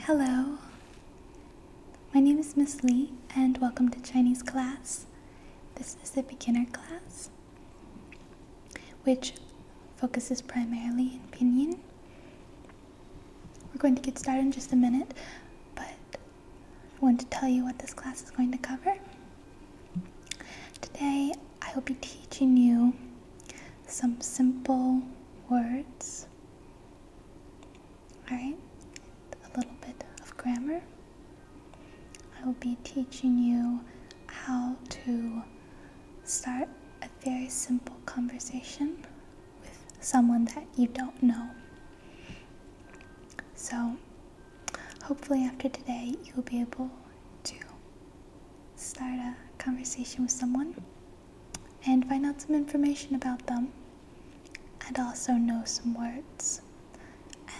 Hello, my name is Miss Lee, and welcome to Chinese class. This is the beginner class, which focuses primarily in pinyin. We're going to get started in just a minute, but I want to tell you what this class is going to cover. Today, I will be teaching you some simple words. Alright, a little bit of grammar. I will be teaching you how to start a very simple conversation with someone that you don't know. So, hopefully, after today, you'll be able to start a conversation with someone and find out some information about them and also know some words.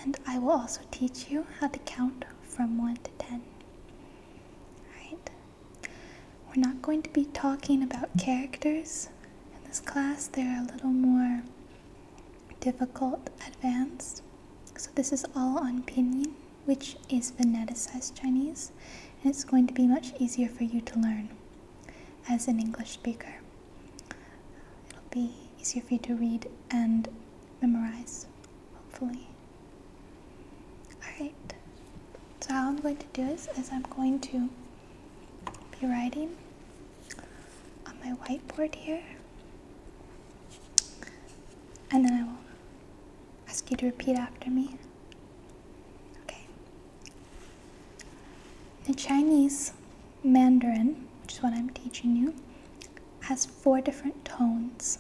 And I will also teach you how to count from 1 to 10. Alright? We're not going to be talking about characters in this class, they're a little more difficult advanced. So this is all on pinyin which is phoneticized Chinese, and it's going to be much easier for you to learn as an English speaker. It'll be easier for you to read and memorize, hopefully. Alright, so how I'm going to do this is I'm going to be writing on my whiteboard here, and then I will ask you to repeat after me. Okay. The Chinese Mandarin, which is what I'm teaching you, has four different tones.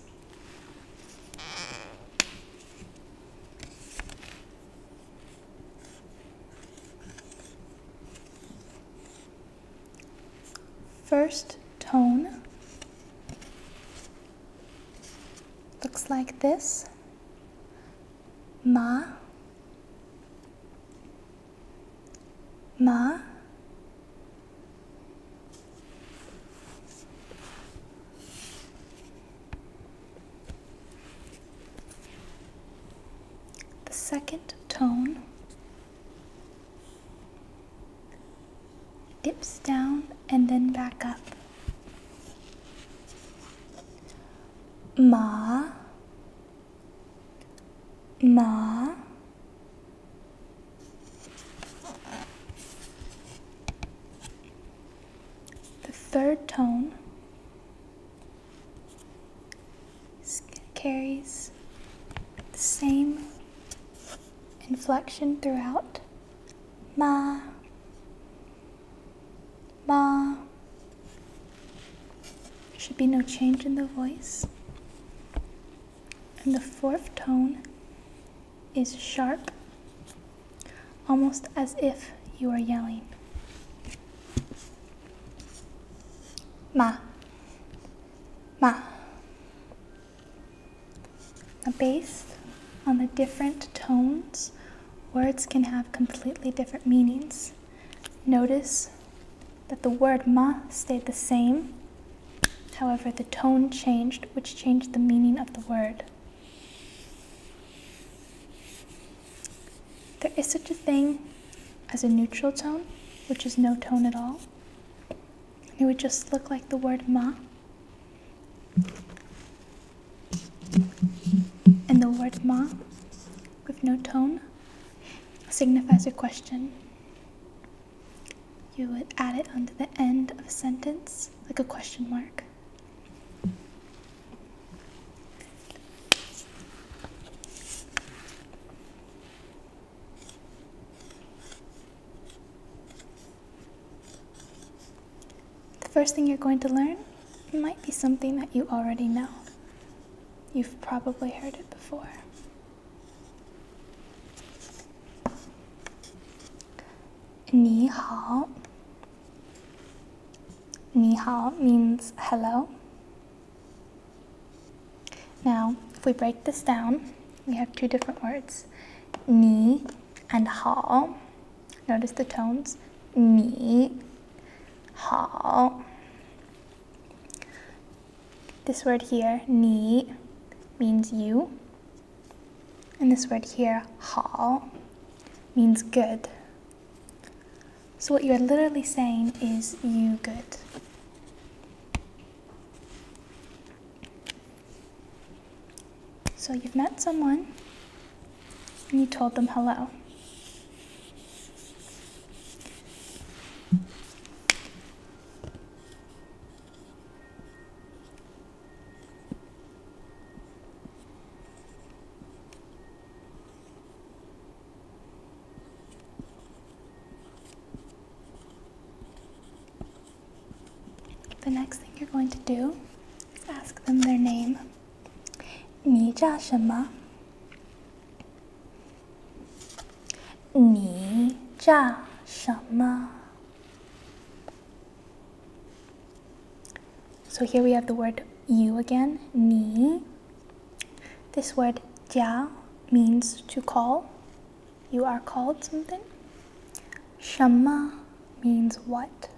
First tone Looks like this. Ma. Ma. The second tone dips down and then back up. Ma, ma. The third tone carries the same inflection throughout ma ma There should be no change in the voice and the fourth tone is sharp almost as if you are yelling ma ma based on the different tones, words can have completely different meanings. Notice that the word ma stayed the same, however the tone changed, which changed the meaning of the word. There is such a thing as a neutral tone, which is no tone at all, it would just look like the word ma and the word ma with no tone signifies a question you would add it onto the end of a sentence like a question mark the first thing you're going to learn might be something that you already know. You've probably heard it before. Ni hao. means hello. Now, if we break this down, we have two different words ni, and hao. Notice the tones. Ni, hao. This word here, ni, means you. And this word here, hao, means good. So what you're literally saying is you good. So you've met someone and you told them hello. The next thing you're going to do is ask them their name. 你叫什么?你叫什么? So here we have the word you again, ni. This word 叫 means to call you are called something. Shama means what?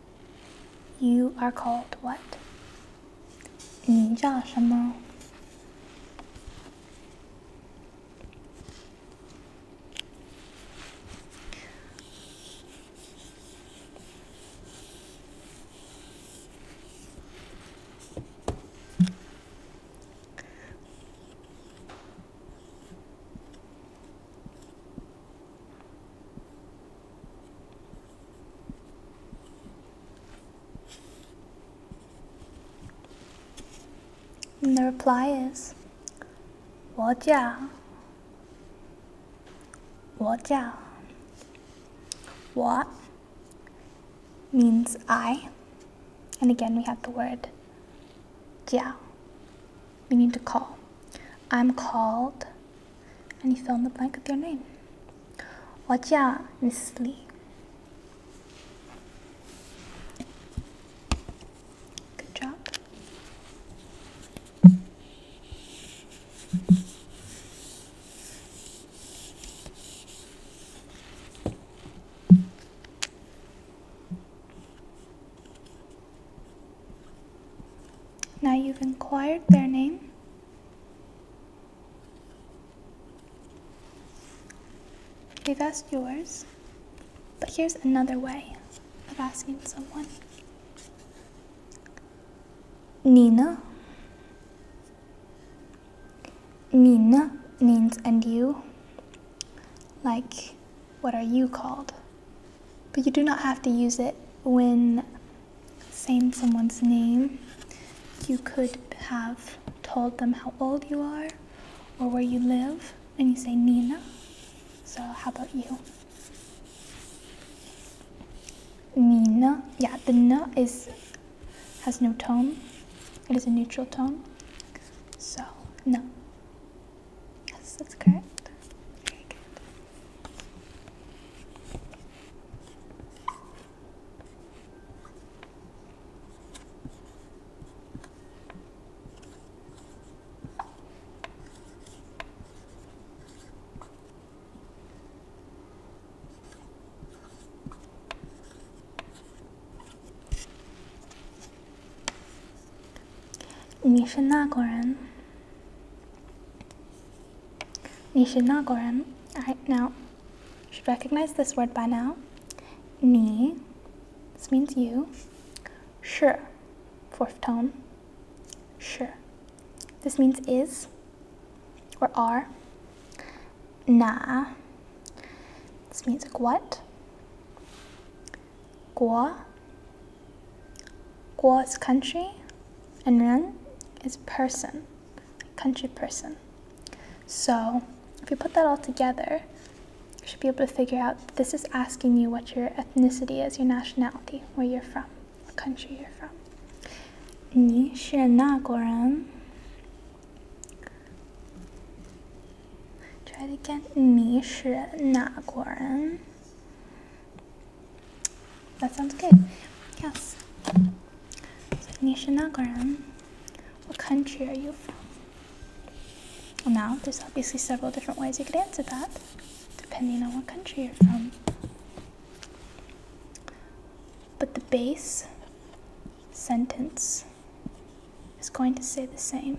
You are called what? 你叫什么? And the reply is 我叫我叫我 means I. And again, we have the word yeah, we need to call. I'm called, and you fill in the blank with your name. 我叫 Miss Lee. Good job. Now you've inquired their name. They've asked yours, but here's another way of asking someone. Nina. Nina means and you like, what are you called? But you do not have to use it when saying someone's name. You could have told them how old you are or where you live, and you say Nina. So, how about you? Nina. Yeah, the N is has no tone. It is a neutral tone. So, no. Yes, that's correct. Very good. 你是那国人？你是那国人? Alright, now should recognize this word by now. Ni. this means you. 是 fourth tone. 是 this means is or are na. This means like what? Guo. Guo is country, and ren is person, country person. So if you put that all together, you should be able to figure out this is asking you what your ethnicity is, your nationality, where you're from, what country you're from. 你是哪国人？Try it again. 迷失那果然. That sounds good. Yes. So, 你是那个人. What country are you from? Well, now, there's obviously several different ways you could answer that, depending on what country you're from. But the base sentence is going to say the same.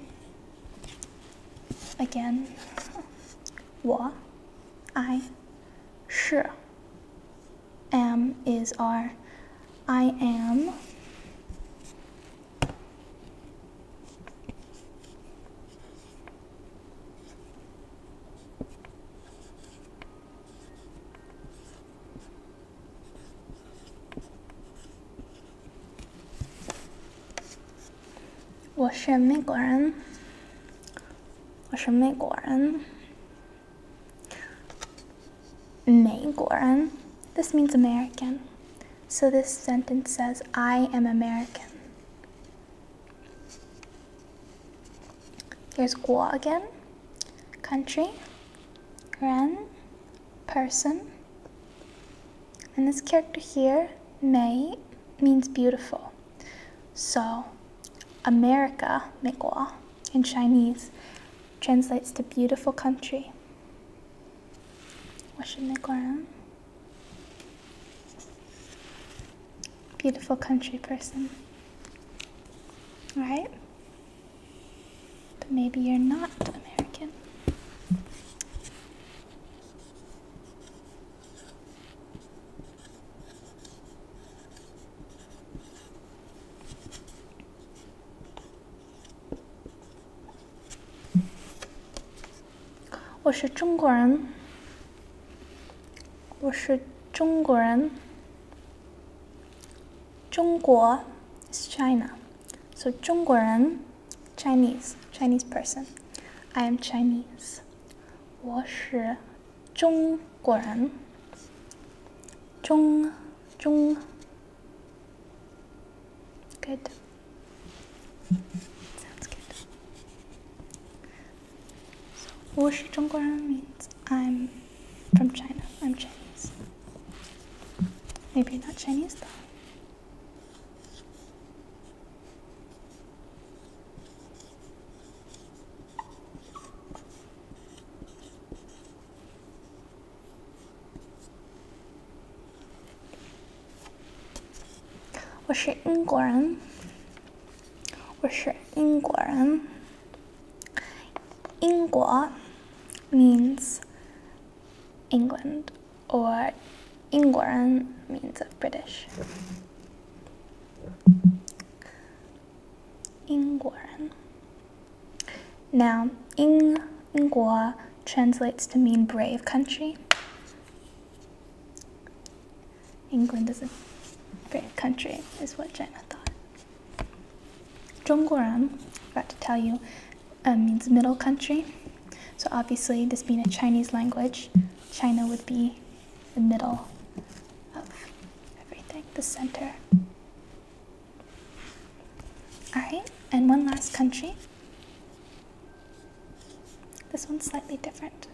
Again, Wa, I, 我, I, 是, am is r, I am. This means American. So this sentence says, I am American. Here's Guo again. Country. Ren person. And this character here, May, means beautiful. So America, Mikwa, in Chinese, translates to beautiful country. Beautiful country person. Right. But maybe you're not American. I am Chinese. I am Chinese. 中国 is China. So 中国人 Chinese, Chinese person. I am Chinese. 我是中国人。中中 Good. Sounds good. So 我是中国人 means I'm from China. I'm Chinese. Maybe not Chinese though. I am Ingua means England or Ingwaran means British. Ingwaran. Now, Ing Ingwa translates to mean brave country. England is a brave country, is what China thought. Zhongguoran, I forgot to tell you, um, means middle country. So obviously, this being a Chinese language, China would be the middle of everything, the center. All right, and one last country. This one's slightly different.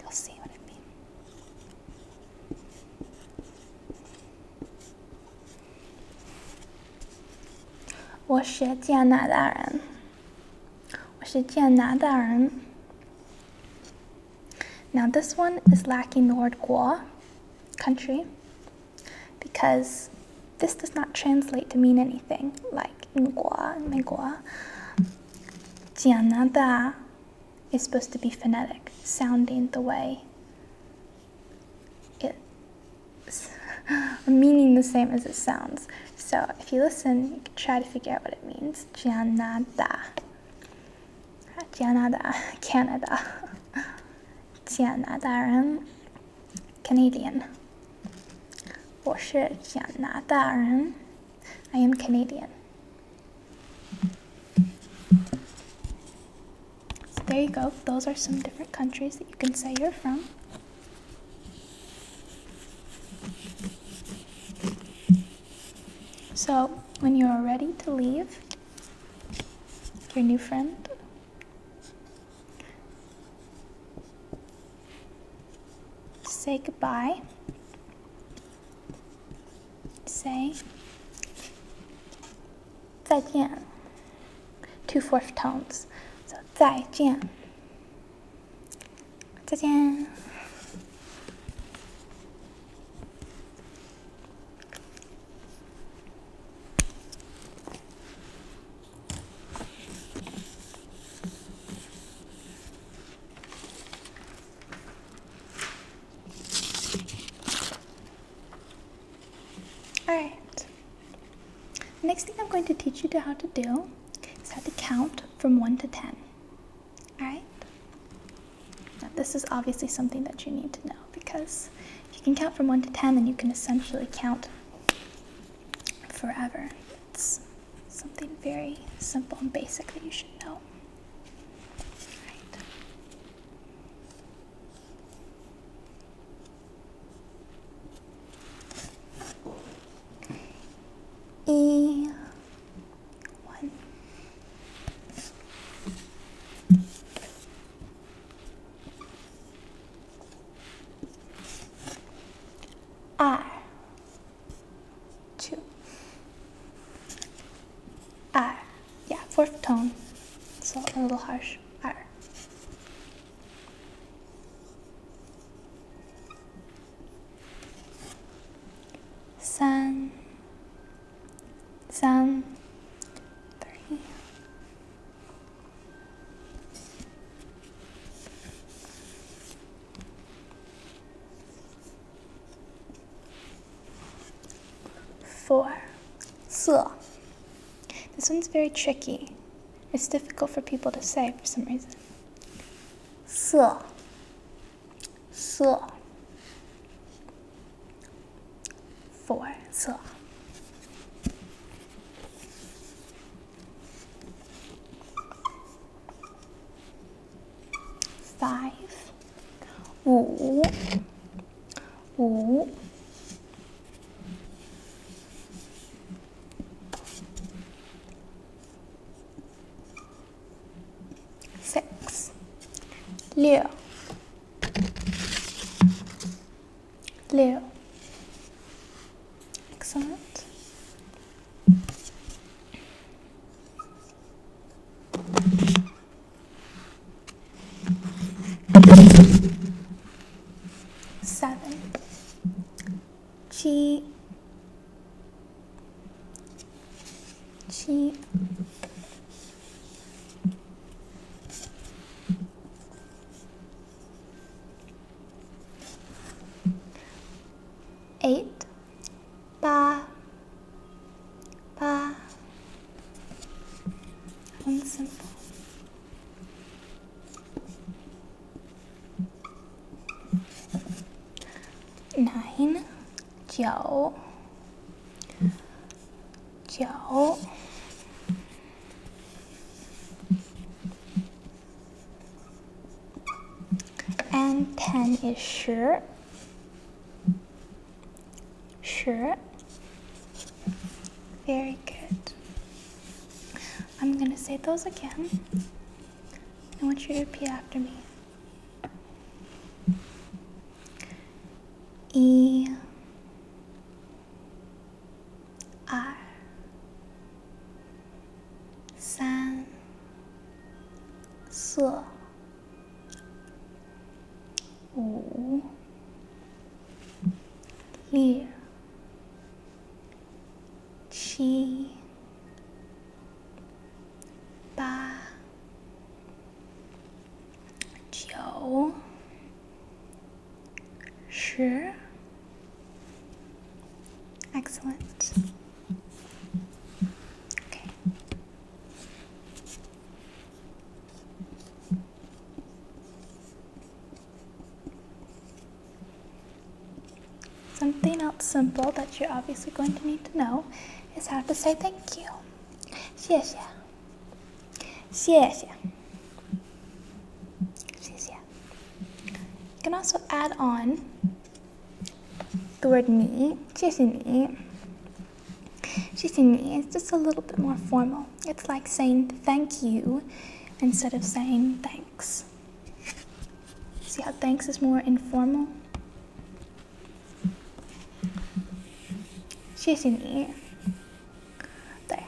You'll see what I mean. Now, this one is lacking the word "gua" country because this does not translate to mean anything like "gua" and "gua." is supposed to be phonetic, sounding the way it's meaning the same as it sounds. So if you listen, you can try to figure out what it means. Canada. Canada. Canada. Canadian. Canadian. I am Canadian. So there you go. Those are some different countries that you can say you're from. So, when you are ready to leave your new friend, say goodbye say zaijian. Two fourth tones. So zaijian. Zaijian. Alright. Next thing I'm going to teach you to how to do is how to count from 1 to 10. Alright? this is obviously something that you need to know because if you can count from 1 to 10 then you can essentially count forever. It's something very simple and basic that you should know. Right. one. R two. ah, Yeah, fourth tone. So a little harsh. R. San. San. Three. Four, 色. This one's very tricky. It's difficult for people to say for some reason. 色,色. Four, 色 five 五五 six 六六 excellent Seven. G. G. Eight. 八，八，五，四，九，九。and 10 is sure. Sure. Very good. I'm going to say those again. I want you to repeat after me. E. R. San. 色。Oh. Clear. Chi. Ba. Jiu. Shi. Excellent. Something else simple that you're obviously going to need to know is how to say thank you. You can also add on the word ni, 谢谢你.谢谢你 is just a little bit more formal. It's like saying thank you instead of saying thanks. See how thanks is more informal? 谢谢你。对。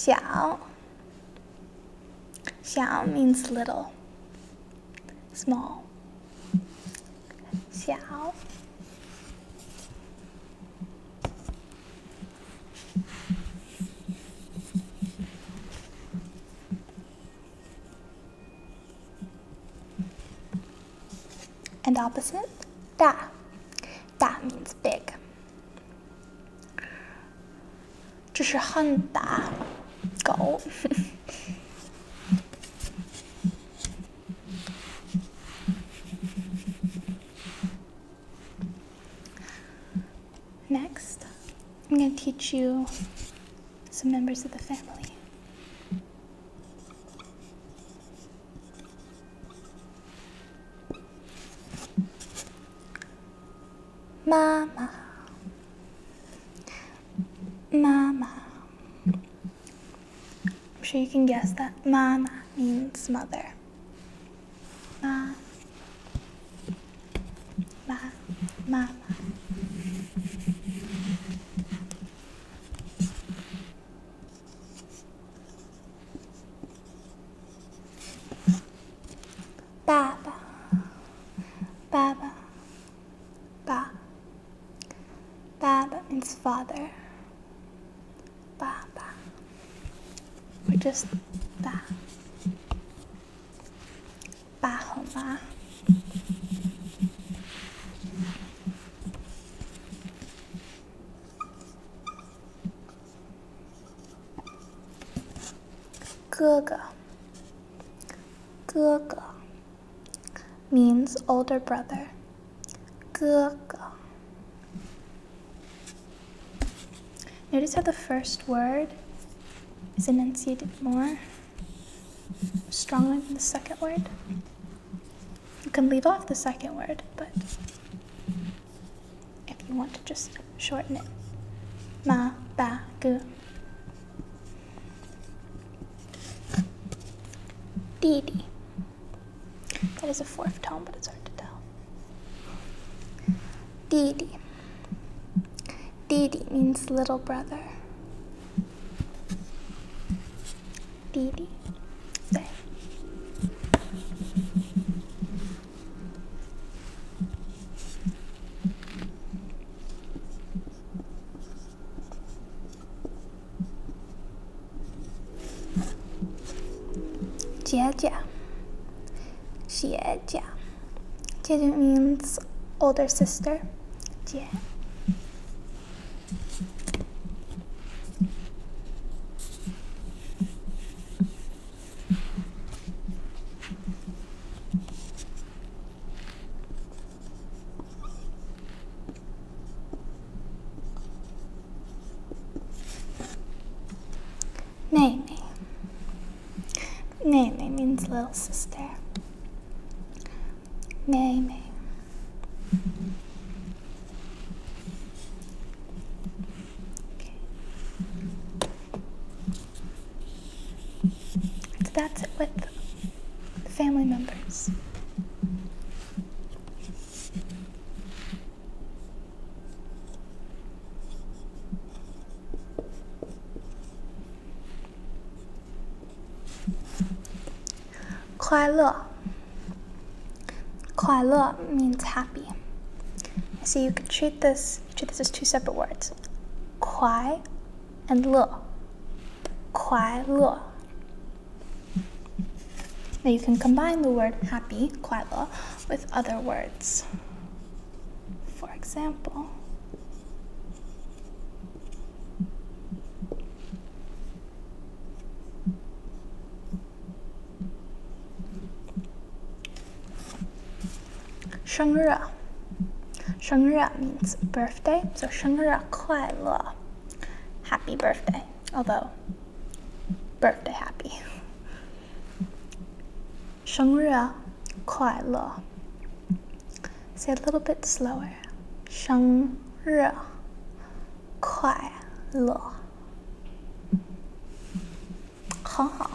Xiao. Xiao means little, small. Xiao. And opposite, da. Da means big. Next, i I'm going to teach you some members of the family. Mama, Mama. I'm sure you can guess that Mama means mother. Mama. Ba. 妈妈妈。爸爸，爸爸，爸，爸爸 means father. 爸爸，we just 爸八好吗？哥哥，哥哥，means older Notice how the first word is enunciated more strongly from the second word. You can leave off the second word, but if you want to just shorten it, ma, ba, gu. 弟弟. That is a fourth tone, but it's hard to tell. 弟弟. Didi means little brother. Didi. Okay. Jia Jia. Jeju means older sister. Yeah. Nene means little sister. Nene. Okay. that's it with family members. 快乐快乐 means happy. So you could treat this treat this as two separate words. 快 and 乐快乐 Now you can combine the word happy, 快乐, with other words for example, Sheng Re. means birthday, so Sheng Re Kuai Happy birthday, although birthday happy. Sheng Re Kuai Say a little bit slower. 生日快乐，很好。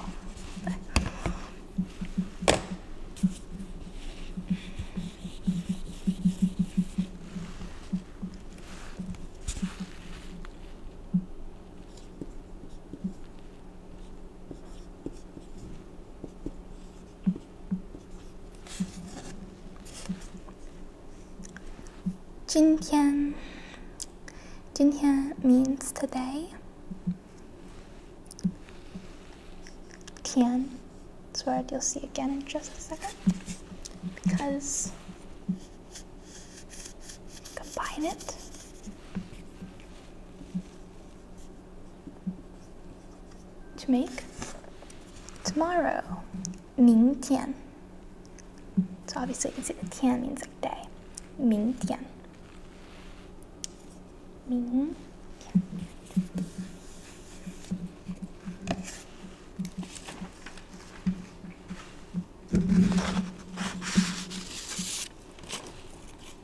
今天，今天 means today。Tian, this word you'll see again in just a second, because combine it to make tomorrow. 明天. So obviously you can see the tian means like day. 明天.明天.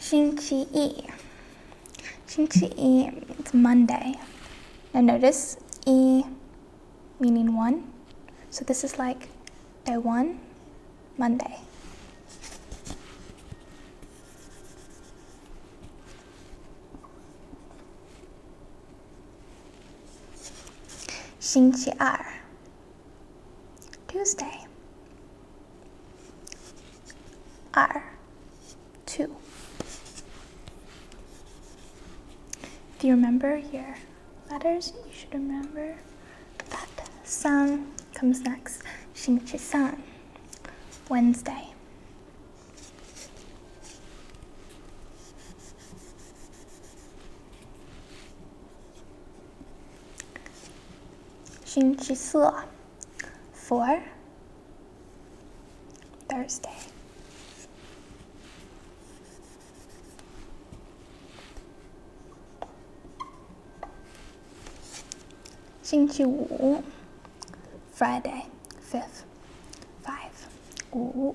Shinchi E. Shinchi E means Monday. Now notice E meaning one. So this is like day one, Monday. Shinchi R. Tuesday R two. Do you remember your letters, you should remember that sun comes next. Shinchi san. Wednesday. Shinchisua for Thursday. Xinchi Wu Friday fifth five Wu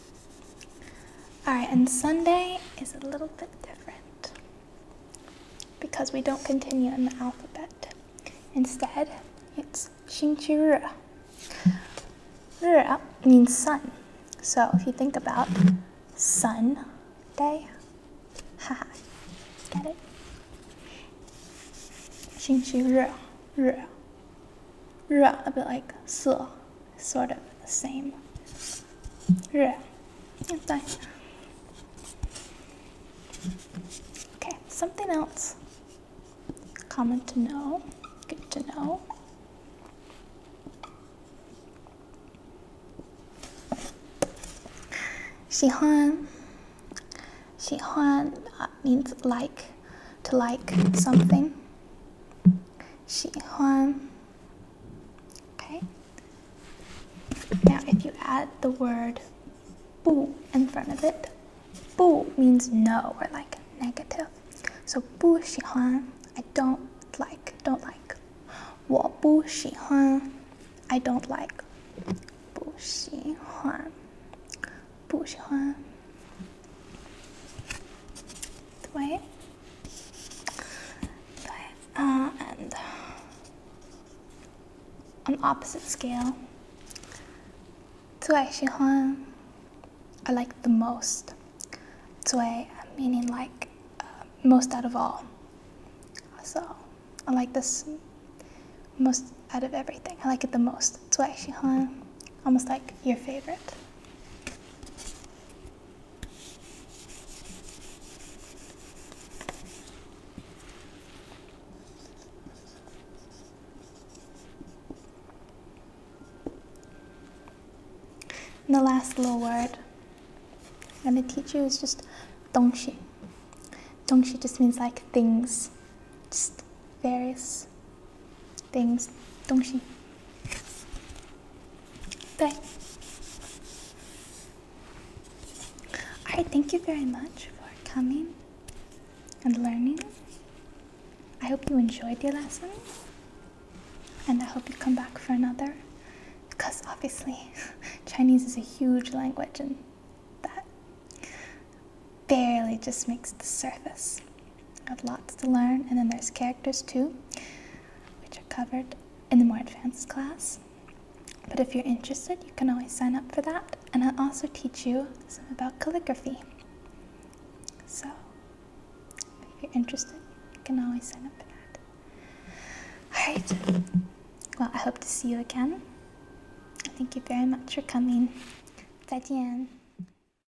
Alright, and Sunday is a little bit different because we don't continue in the alphabet. Instead, it's Xinqiru. Ru means sun. So if you think about sun day, haha, get it? Xinqiru, ru, ru, a bit like 色, sort of the same. Yeah. Okay, something else. Common to know, good to know. Xihuan. Xihuan uh, means like, to like something. 喜欢. Okay. Now, if you add the word 不 in front of it, 不 means no or like negative. So 不喜欢, I don't like, don't like. 我不喜欢, I don't like. 不喜欢,不喜欢。Двое. Двое. Uh, and on opposite scale, Tuai I like the most. Tuai meaning like uh, most out of all. So I like this most out of everything. I like it the most. Tuai Shihan, almost like your favorite. And the last little word I'm going to teach you is just dongshi. Dongshi just means like things, just various things 东西。Bye. Alright, thank you very much for coming and learning. I hope you enjoyed your lesson. And I hope you come back for another. Because obviously, Chinese is a huge language and that barely just makes the surface. Have lots to learn, and then there's characters too, which are covered in the more advanced class. But if you're interested, you can always sign up for that, and I'll also teach you some about calligraphy. So, if you're interested, you can always sign up for that. Alright, well, I hope to see you again. Thank you very much for coming. 再见。